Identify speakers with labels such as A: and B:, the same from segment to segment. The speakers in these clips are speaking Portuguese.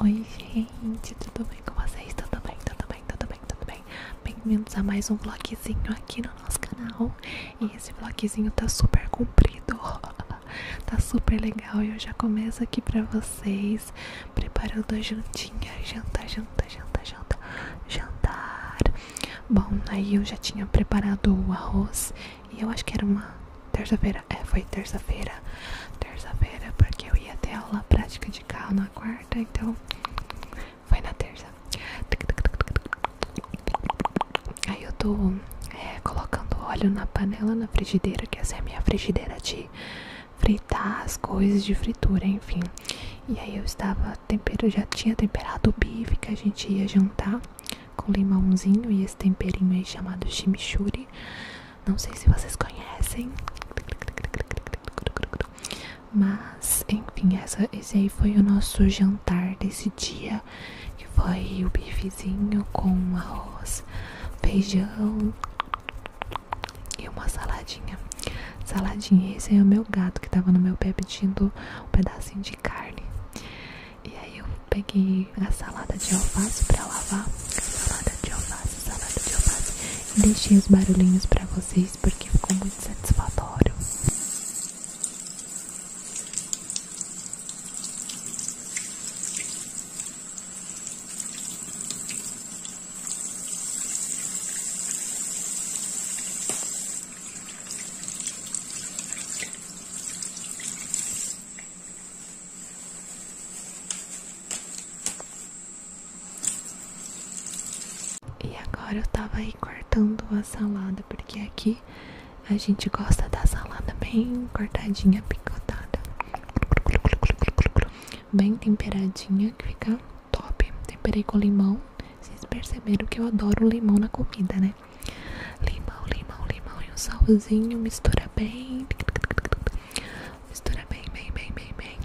A: Oi gente, tudo bem com vocês? Tudo bem, tudo bem, tudo bem, tudo bem? Bem-vindos a mais um vlogzinho aqui no nosso canal E esse vlogzinho tá super comprido Tá super legal e eu já começo aqui pra vocês Preparando a jantinha, janta, janta, janta, janta, jantar Bom, aí eu já tinha preparado o arroz e eu acho que era uma terça-feira. É, foi terça-feira. Terça-feira, porque eu ia ter aula prática de carro na quarta, então foi na terça. Aí eu tô é, colocando óleo na panela na frigideira, que essa é a minha frigideira de fritar as coisas de fritura, enfim. E aí eu estava tempero, já tinha temperado o bife que a gente ia jantar com limãozinho e esse temperinho aí chamado chimichurri. Não sei se vocês conhecem, mas enfim, essa, esse aí foi o nosso jantar desse dia, que foi o bifezinho com arroz, feijão e uma saladinha. Saladinha, esse aí é o meu gato que tava no meu pé pedindo um pedacinho de carne. E aí eu peguei a salada de alface pra lavar. Salada de alface, salada de alface. E deixei os barulhinhos pra vocês porque ficou muito satisfatório. E agora eu tava aí cortando a salada, porque aqui a gente gosta da salada bem cortadinha, picotada, bem temperadinha, que fica top. Temperei com limão. Vocês perceberam que eu adoro limão na comida, né? Limão, limão, limão e um salzinho. Mistura bem. Mistura bem, bem, bem, bem, bem.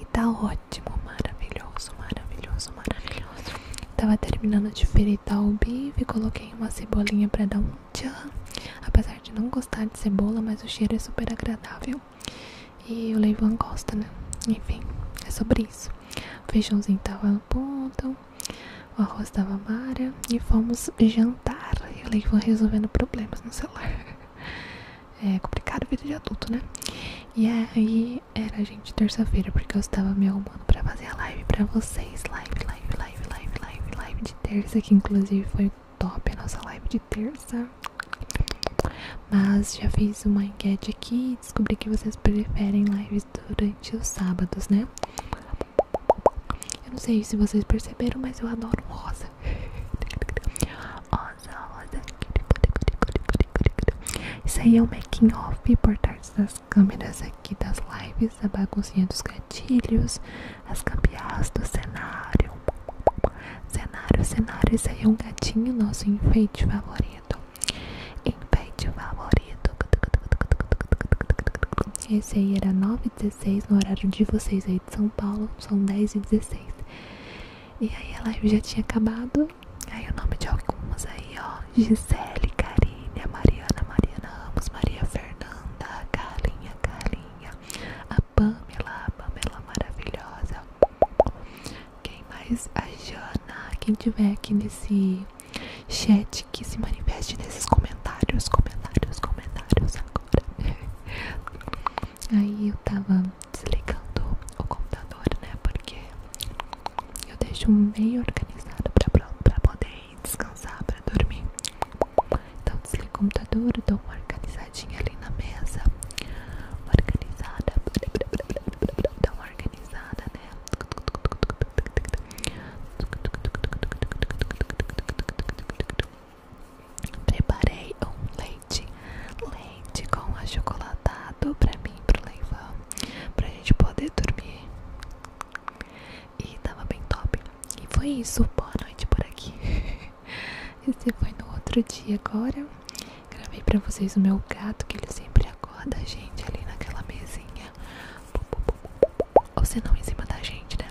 A: E tá ótimo, maravilhoso, maravilhoso, maravilhoso. Tava terminando de fritar o bife, coloquei uma cebolinha pra dar um tchan. Apesar de não gostar de cebola, mas o cheiro é super agradável. E o Leivan gosta, né? Enfim, é sobre isso. O feijãozinho tava no ponto. O arroz estava amarelo e fomos jantar. E o Leivon resolvendo problemas no celular. É complicado vida de adulto, né? E aí era a gente terça-feira, porque eu estava me arrumando para fazer a live para vocês. Live, live, live, live, live, live de terça, que inclusive foi top a nossa live de terça. Mas já fiz uma enquete aqui e descobri que vocês preferem lives durante os sábados, né? Eu não sei se vocês perceberam, mas eu adoro rosa. Rosa, rosa. Isso aí é o making off por trás das câmeras aqui das lives, a baguncinha dos gatilhos, as gambiarras do cenário. Cenário, cenário, isso aí é um gatinho, nosso enfeite favorito em pet favorito. Esse aí era 9h16 no horário de vocês aí de São Paulo, são 10h16. E aí a live já tinha acabado. Aí o nome de algumas aí, ó. Gisele, Karine, Mariana, Mariana Ramos, Maria Fernanda, Carinha, Carinha, a Pamela, a Pamela maravilhosa. Quem mais? A Jana, quem tiver aqui nesse Chat que se manifeste nesses comentários, comentários, comentários agora. Aí eu tava desligando o computador, né? Porque eu deixo meio organizado pra, pra poder descansar, pra dormir. Então desliga o computador, dou uma organizadinha ali na mesa. Organizada, dá uma organizada, né? Preparei um leite, leite com achocolatado para mim, para pro leivão, a gente poder dormir. E tava bem top. E foi isso. Boa noite por aqui. Esse foi no outro dia agora. Gravei para vocês o meu gato, que ele sempre acorda a gente ali naquela mesinha ou se não em cima da gente, né?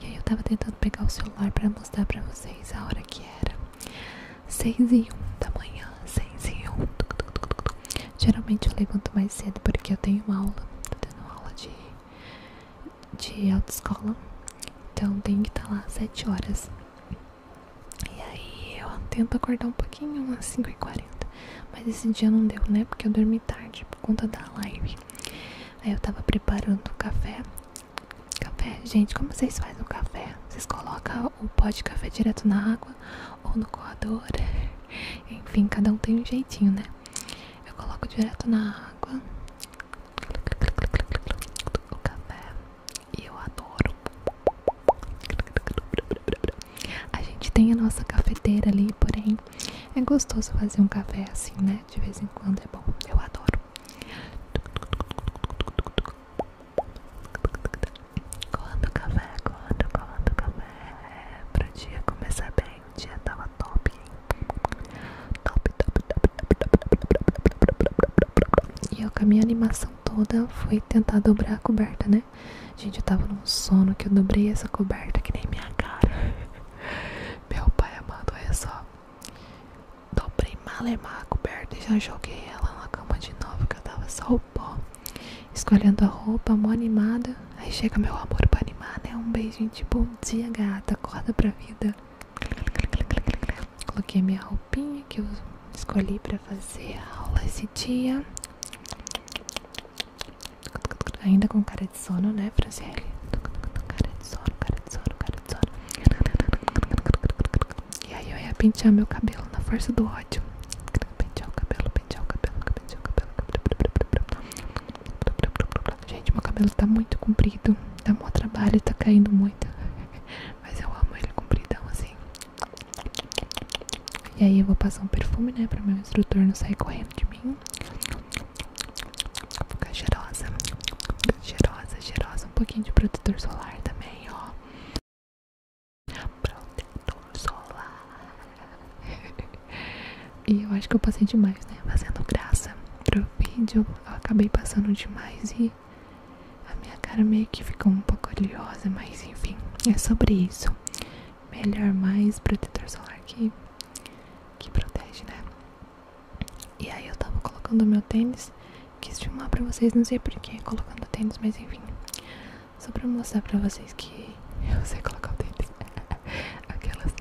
A: E aí eu tava tentando pegar o celular pra mostrar pra vocês a hora que era 6 e 1 da manhã, 6 e 1 Geralmente eu levanto mais cedo porque eu tenho uma aula, tô tendo aula de, de autoescola Então tenho que estar tá lá às 7 horas E aí eu tento acordar um pouquinho, umas 5 e 40 mas esse dia não deu, né? Porque eu dormi tarde por conta da live. Aí eu tava preparando o café. Café, gente, como vocês fazem o café? Vocês colocam o pó de café direto na água ou no coador? Enfim, cada um tem um jeitinho, né? Eu coloco direto na água o café e eu adoro. A gente tem a nossa cafeteira ali, porém é gostoso fazer um café assim, né? De vez em quando é bom, eu adoro. Colando café, colando, colando café. pro dia começar bem, o dia tava top. Top, top, top, top, top, top, top, top, top. E eu com a minha animação toda fui tentar dobrar a coberta, né? Né? Gente, eu tava num sono que eu dobrei essa coberta que nem minha cara. Meu pai amado, olha é só. Dobrei malemar a coberta e já joguei ela na cama de novo, que eu tava só o pó. Escolhendo a roupa, mó animada. Aí chega meu amor pra animar, né? Um beijo gente bom dia, gata. Acorda pra vida. Coloquei minha roupinha que eu escolhi pra fazer a aula esse dia. Ainda com cara de sono, né, Franciele? Cara de sono, cara de sono, cara de sono. E aí eu ia pentear meu cabelo na força do ódio. Pentear o cabelo, pentear o cabelo, pentear o cabelo. Gente, meu cabelo tá muito comprido. Dá um trabalho, tá caindo muito. Mas eu amo ele compridão assim. E aí eu vou passar um perfume, né? Pra meu instrutor não sair correndo de mim. Vou ficar cheirosa. Cheirosa, cheirosa. Um pouquinho de protetor solar também, ó. Protetor solar. e eu acho que eu passei demais, né? Fazendo graça pro vídeo. Eu acabei passando demais e a minha cara meio que ficou um pouco oleosa, mas enfim, é sobre isso melhor, mais protetor solar que, que protege, né? E aí eu tava colocando meu tênis, quis filmar pra vocês, não sei por porquê, colocando tênis, mas enfim. Só pra mostrar pra vocês que eu sei colocar o tênis. Aquelas.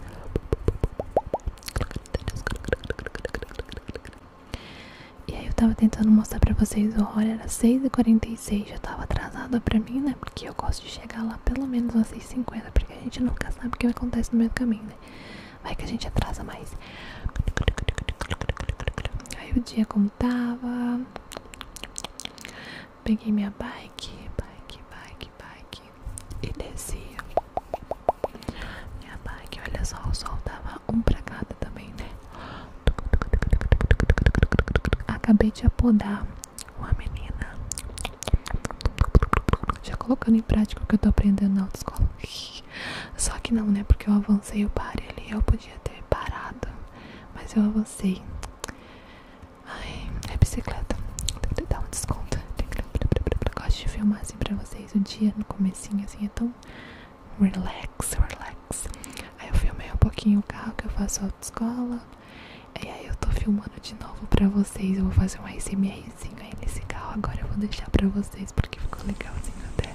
A: E aí eu tava tentando mostrar pra vocês olha era 6h45 e 6 já tava atrasada pra mim, né? Porque eu gosto de chegar lá pelo menos às 6h50, porque a gente nunca sabe o que acontece no meio do caminho, né? Vai que a gente atrasa mais. Aí o dia como tava. Peguei minha bike, bike, bike, bike. E desci. Minha bike, olha só, o sol tava um pra cada também, né? Acabei de apodar uma menina. Já colocando em prática o que eu tô aprendendo na autoescola. Só que não, né? Porque eu avancei o pare ali. Eu podia ter parado. Mas eu avancei. Ai, é bicicleta. Tem dar um desconto. Gosto de filmar assim pra vocês o dia no comecinho, assim, é tão relax, relax. Aí eu filmei um pouquinho o carro que eu faço Escola. E aí eu tô filmando de novo pra vocês. Eu vou fazer um ASMRzinho aí nesse carro. Agora eu vou deixar pra vocês porque ficou legalzinho até.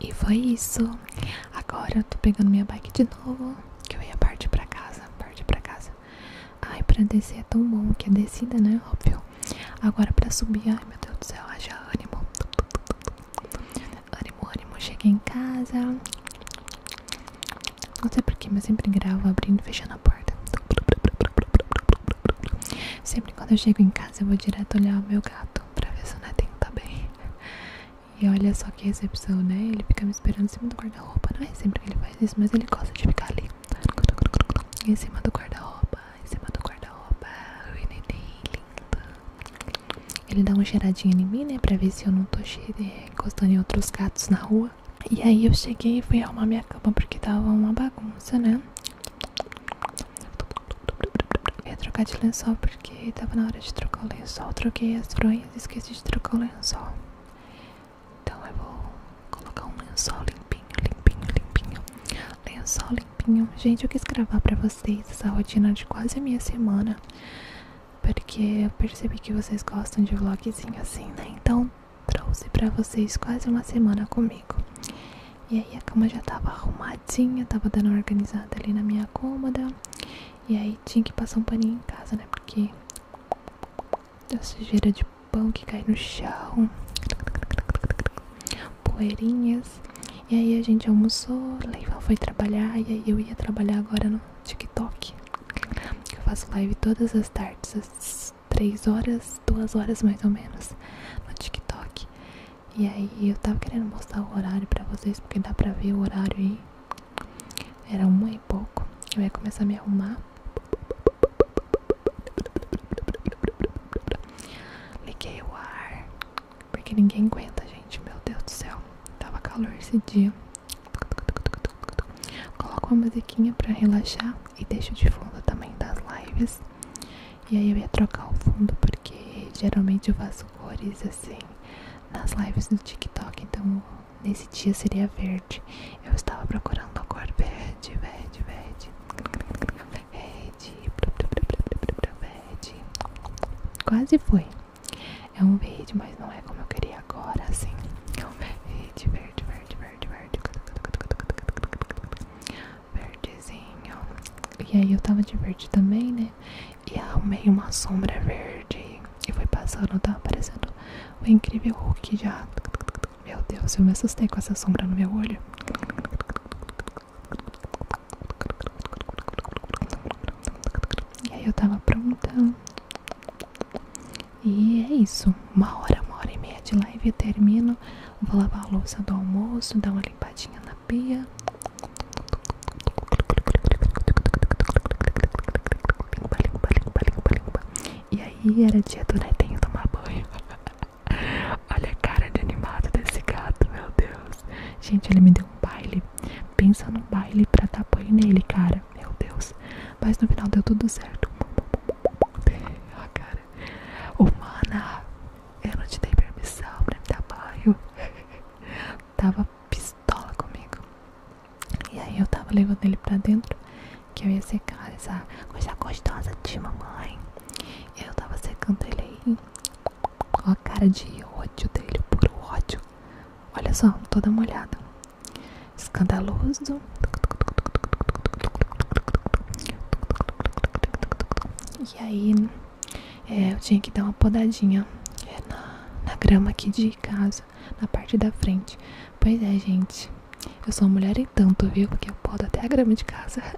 A: E foi isso. Agora eu tô pegando minha bike de novo. Que eu ia partir pra casa. parte pra casa. Ai, pra descer é tão bom que é descida, né? Óbvio. Agora pra subir, ai meu Deus do céu, haja ânimo. Ânimo, ânimo. Cheguei em casa. Não sei por que mas sempre gravo abrindo e fechando a porta. Sempre quando eu chego em casa eu vou direto olhar o meu gato pra ver se o netinho tá bem. E olha só que recepção, né? Ele fica me esperando em cima do guarda-roupa. Não é sempre que ele faz isso, mas ele gosta de ficar ali. Em cima do guarda-roupa, em cima do guarda-roupa. Oi, neném, lindo. Ele dá uma cheiradinha em mim, né? Pra ver se eu não tô eh, encostando em outros gatos na rua. E aí eu cheguei e fui arrumar minha cama porque tava uma bagunça, né? ia trocar de lençol porque tava na hora de trocar o lençol. Troquei as fronhas e esqueci de trocar o lençol. Então eu vou colocar um lençol limpinho, limpinho, limpinho. Lençol limpinho. Gente, eu quis gravar pra vocês essa rotina de quase a minha semana porque eu percebi que vocês gostam de vlogzinho assim, né? Então trouxe pra vocês quase uma semana comigo. E aí a cama já tava arrumadinha, tava dando organizada ali na minha cômoda. E aí tinha que passar um paninho em casa, né? Porque a sujeira de pão que cai no chão, poeirinhas. E aí a gente almoçou, Leiva foi trabalhar e aí eu ia trabalhar agora no TikTok. Eu faço live todas as tardes, às 3 horas, 2 horas mais ou menos, no TikTok. E aí eu tava querendo mostrar o horário pra vocês, porque dá pra ver o horário aí. Era uma e pouco. Eu ia começar a me arrumar. Liguei o ar. Porque ninguém aguenta, gente. Meu Deus do céu. Tava calor esse dia. Coloco uma musiquinha pra relaxar e deixo de fundo também das lives. E aí eu ia trocar o fundo porque geralmente eu faço cores assim nas lives no TikTok. Então nesse dia seria verde. Eu estava procurando a cor verde, verde, verde. Verde. Verde. Quase foi. É um verde, mas não é como eu queria agora, assim. É um verde, verde, verde, verde, verde. Verdezinho. E aí eu tava de verde também, né? E arrumei uma sombra verde. E foi passando, tá aparecendo o incrível Hulk já. Meu Deus, eu me assustei com essa sombra no meu olho. E aí eu tava pronta. E é isso. Uma hora, uma hora e meia de live eu termino. Vou lavar a louça do almoço, dar uma limpadinha na pia. E aí era dia do netinho tomar banho. Olha a cara de animado desse gato, meu Deus. Gente, ele me deu um baile. Pensa num baile pra dar banho nele, cara meu Deus. Mas no final deu tudo certo. A cara. Humana, eu não te dei permissão pra me dar banho. tava pistola comigo. E aí eu tava levando ele pra dentro, que eu ia secar essa coisa gostosa de mamãe. eu tava secando ele aí. Com a cara de ódio dele, puro ódio. Olha só, toda molhada escandaloso e aí é, eu tinha que dar uma podadinha é, na, grama aqui de casa na parte da frente pois é gente eu sou mulher em tanto viu porque eu podo até a grama de casa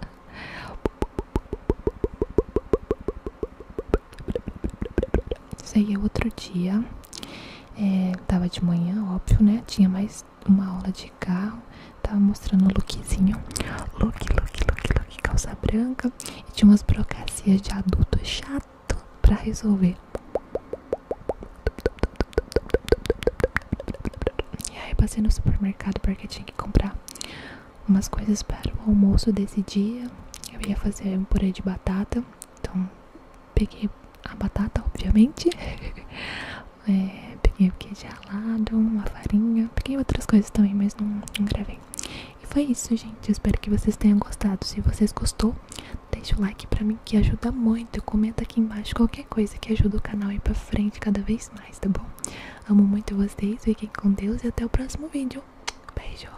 A: Saí é outro dia, é, tava de manhã, óbvio, né? Tinha mais uma aula de carro, tava mostrando o lookzinho. Look, look, look, look, calça branca. E tinha umas burocracias de adulto chato pra resolver. E aí passei no supermercado porque tinha que comprar umas coisas para o almoço desse dia. Eu ia fazer um purê de batata, então Peguei a batata, obviamente. É, peguei o queijo alado uma farinha. Peguei outras coisas também, mas não, não gravei. E foi isso, gente. espero que vocês tenham gostado. Se vocês gostou, deixa o like pra mim que ajuda muito. Comenta aqui embaixo qualquer coisa que ajuda o canal a ir pra frente cada vez mais, tá bom? Amo muito vocês. Fiquem com Deus e até o próximo vídeo. Beijo!